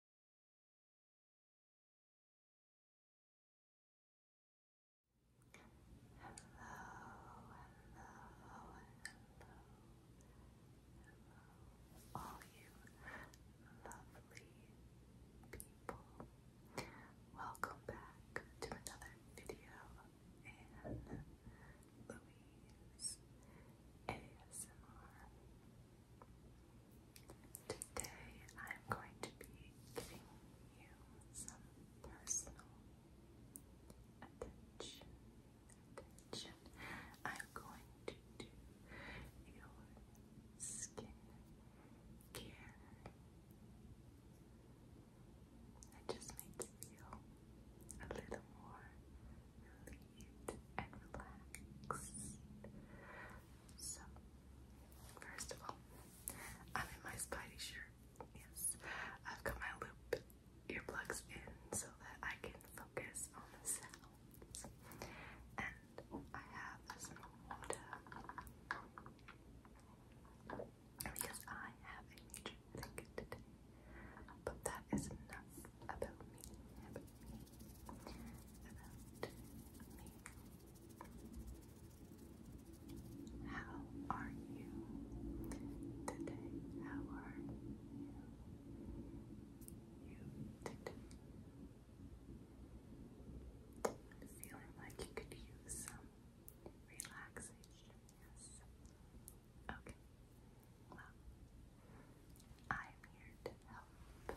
hello, hello, all you lovely people. Welcome back to another video in Louise ASMR. Today I'm going to be giving you some personal attention. Attention. I'm going to do your skin It just makes you feel a little more and relax. So, first of all, I'm in my Spidey shirt. Yes, I've got my loop earplugs in so that I can focus on the sounds. And I have some water because I have a major headache today. But that is enough About me about How are you today? How are you? You feeling like you could use some relaxation, yes. Okay, well, I'm here to help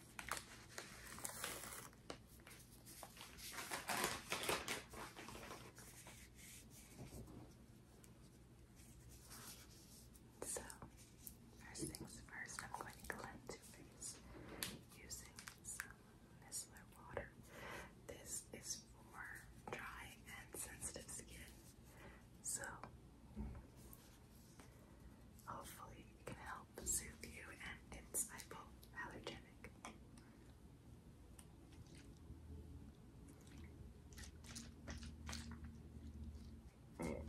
So, first things first, I'm going to cleanse your face using some Micellar water. This is for dry and sensitive skin. So, Hopefully, it can help soothe you, and it's hypoallergenic. Okay.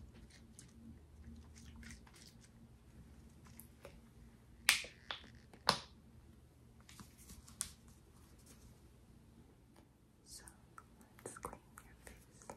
So let's clean your face.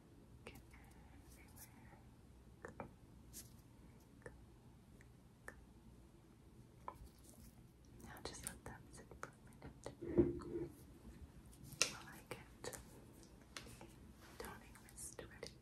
Get everywhere. Now just let that sit for a minute while I get toning mist ready.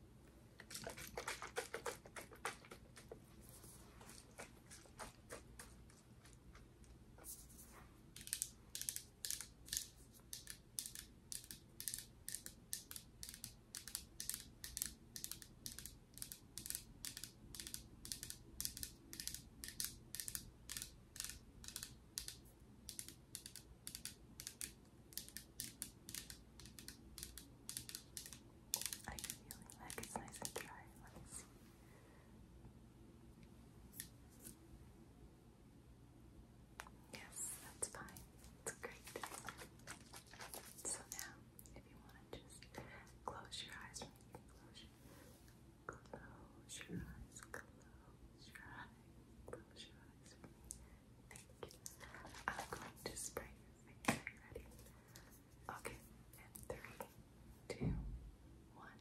Are you like it's nice and dry? Let me see. Yes, that's fine. It's great. So now, if you want to just close your eyes for me, close your, eyes, close your eyes, close your eyes for me. Thank you. I'm going to spray your face. ready? Okay, and three, two, one.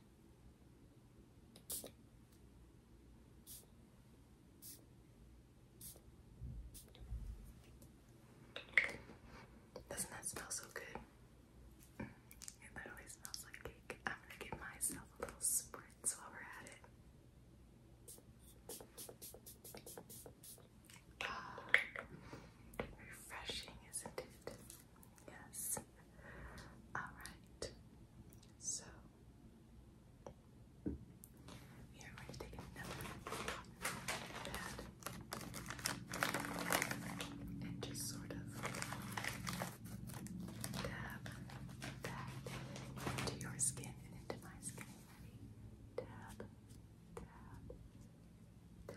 Doesn't that smell so good? It literally smells like cake. I'm gonna give myself a little spritz while we're at it. Ah, refreshing, isn't it? Yes. All right. So here, we're going to take another pad and just sort of dab that into your skin and into my skin. Ready? Dab, dab, dab.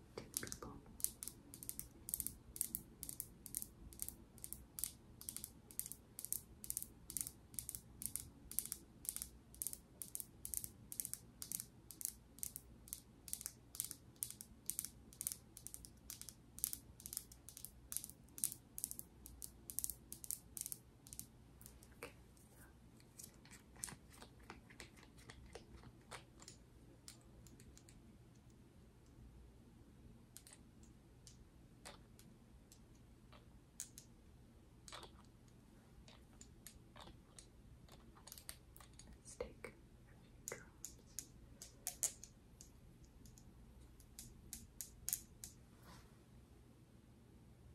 two people. Okay. Let's take a few drops.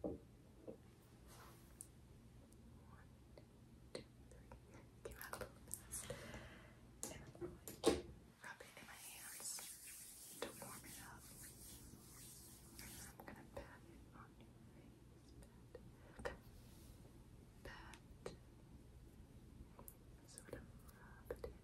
One, two, three. Came out a little fast. And rub it in my hands to warm it up. I'm going to pat it on your face. Pat. Sort of rub it in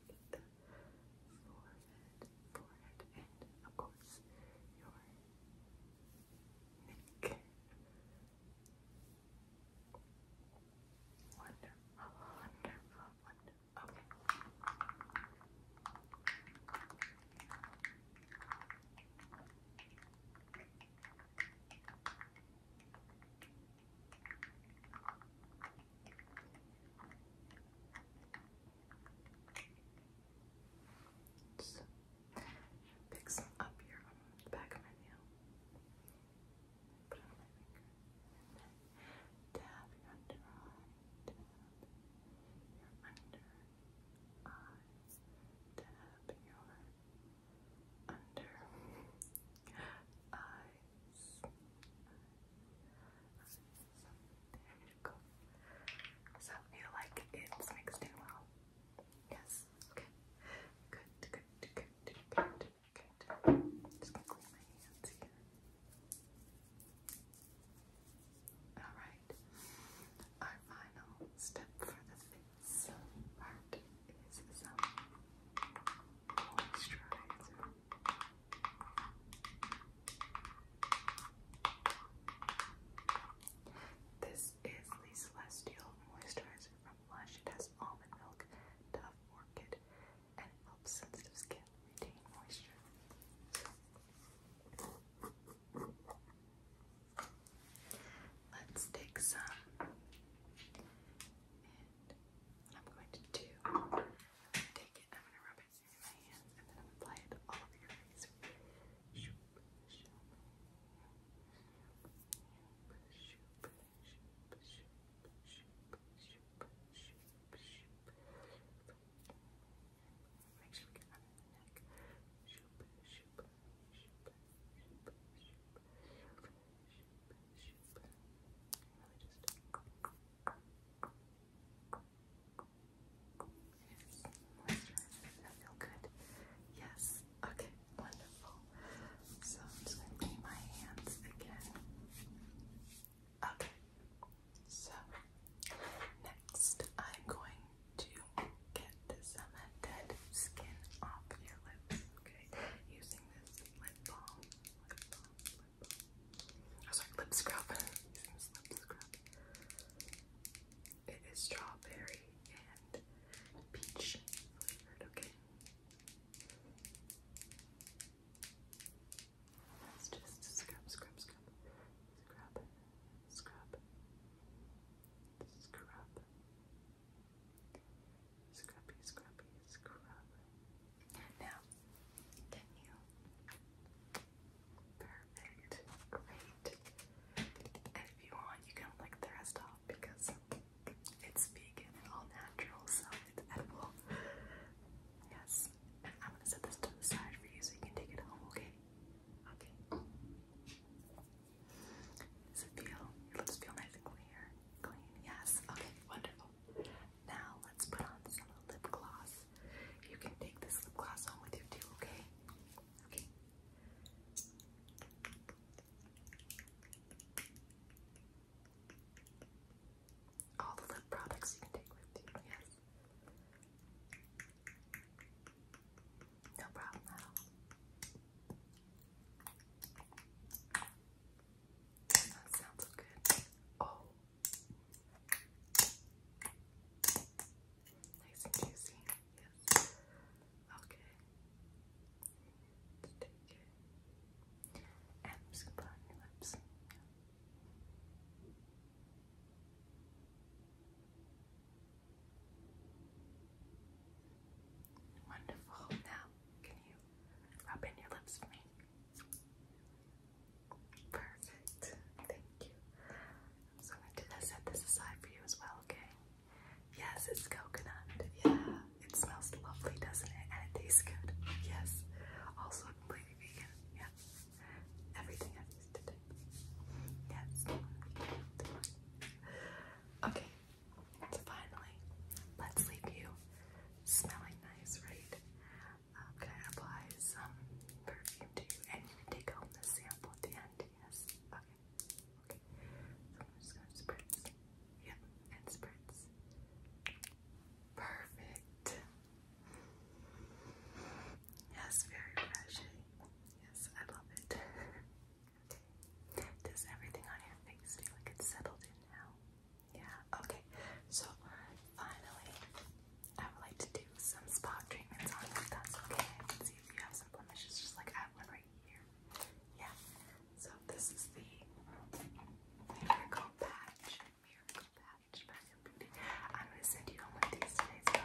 forget the forehead, forehead, and of course your neck. Wonderful, wonderful, wonderful. Okay. Okay. Just pick some up here on the back of my nail. Put it on my finger. And your under eye. Dab your under eye. Dab your under eye eyes. So there you like it's mixed well? Yes. Okay. Good. Good. Good. Good. Good. good. Just gonna clean my hands here. Alright, our final step for the face part is some moisturizer. This is the Celestial Moisturizer from Lush. It has almond milk, dove, orchid, and helps sensitive skin retain moisture. Let's take some I'm going to do, take it I'm going to rub it through my hands and then I'm going it all over your face. Make sure we get under the neck. I feel good. Yes. Okay. Wonderful. So I'm just gonna clean my hands again. Okay. So next, I'm going to get some dead skin off your lips. Okay, using this Lip balm. I was like lip scrub. It is strawberry and peach flavored. Okay. let just scrub, scrub, scrub, scrub, scrub, scrub, Scrubby, scrubby, scrub. Now, can you? Perfect. Great. And if you want, you can lick the rest off because it's vegan and all natural, so it's edible. Yes. I'm gonna set this to the side for you so you can take it home, okay? Okay. Does it feel? Your lips feel nice and clear. Clean. Yes. Okay. Wonderful. Now let's put on some lip gloss. You can take this lip gloss home with you too, okay? Okay. All the lip products you can take with you, yes. No problem at all. That sounds good. Oh. Nice and juicy. Yes. Okay. take it. And I'm just gonna put your lips. Wonderful. Now, can you rub in your lips for me? Perfect. Thank you. So I'm going set this aside for you as well, okay? Yes, it's coconut. Yeah, it smells lovely, doesn't it? And it tastes good. Yes. Also completely vegan. Yeah. Everything i used today. Yes. Okay. So finally, let's leave you smelling nice, right? Um, can some perfume to you? And you can take home the sample at the end, yes? Okay, okay. So I'm just gonna spritz. Yep, and spritz. Perfect. Yes, very refreshing. Yes, I love it. okay. Does everything on your face feel like it's settled in now? Yeah, okay. So finally, I would like to do some spot treatments on you, that's okay. I can see if you have some blemishes, just like I have one right here. Yeah, so this is the Miracle Patch. Miracle Patch by Beauty. I'm going to send you home with these today,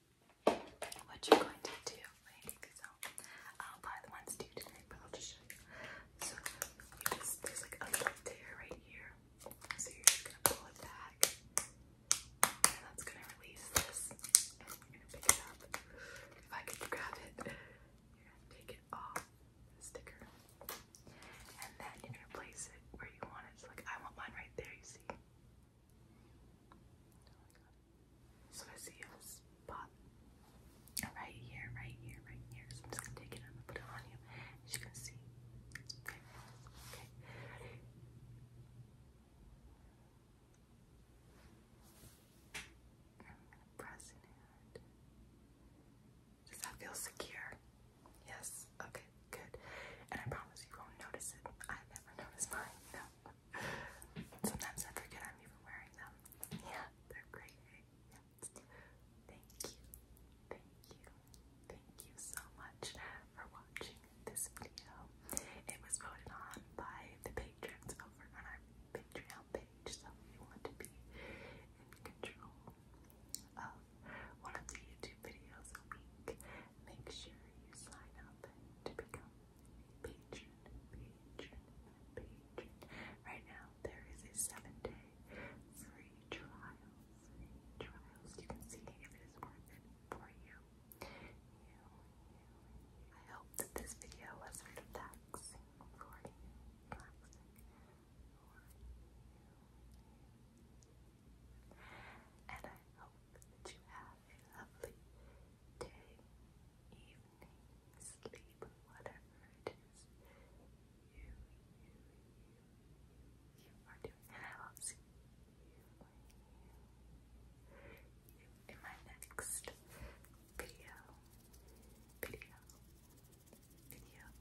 what you're going to do. I'll buy the ones to you today, but I'll just show you. So you just there's like a little tear right here. So you're just gonna pull it back, and that's gonna release this. And you gonna pick it up. If I could grab it, you're gonna take it off the sticker, and then you're gonna place it where you want it. like I want mine right there. You see. Oh so I see a spot right here, right here, right here. So I'm just gonna take it and put it on you. As you can see, it's Okay. I'm gonna press it. Does that feel secure? Yes. Okay, good. And I promise you won't notice it. I never noticed mine. No. Sometimes I forget I'm even wearing them. Yeah, they're great. Yeah. Thank you, thank you, thank you so much for watching this video. It was voted on by the patrons over on our Patreon page, so if you want to be in control of one of the YouTube videos a week, make sure you sign up to become patron, Right now there is a seven-day free trial. Free trials. You can see if it is worth it for you. I hope that this video was Relaxing for you. And I hope that you have a lovely day, evening, sleep, whatever it is. You, you, you, you are doing I will see you in my next video, video, video.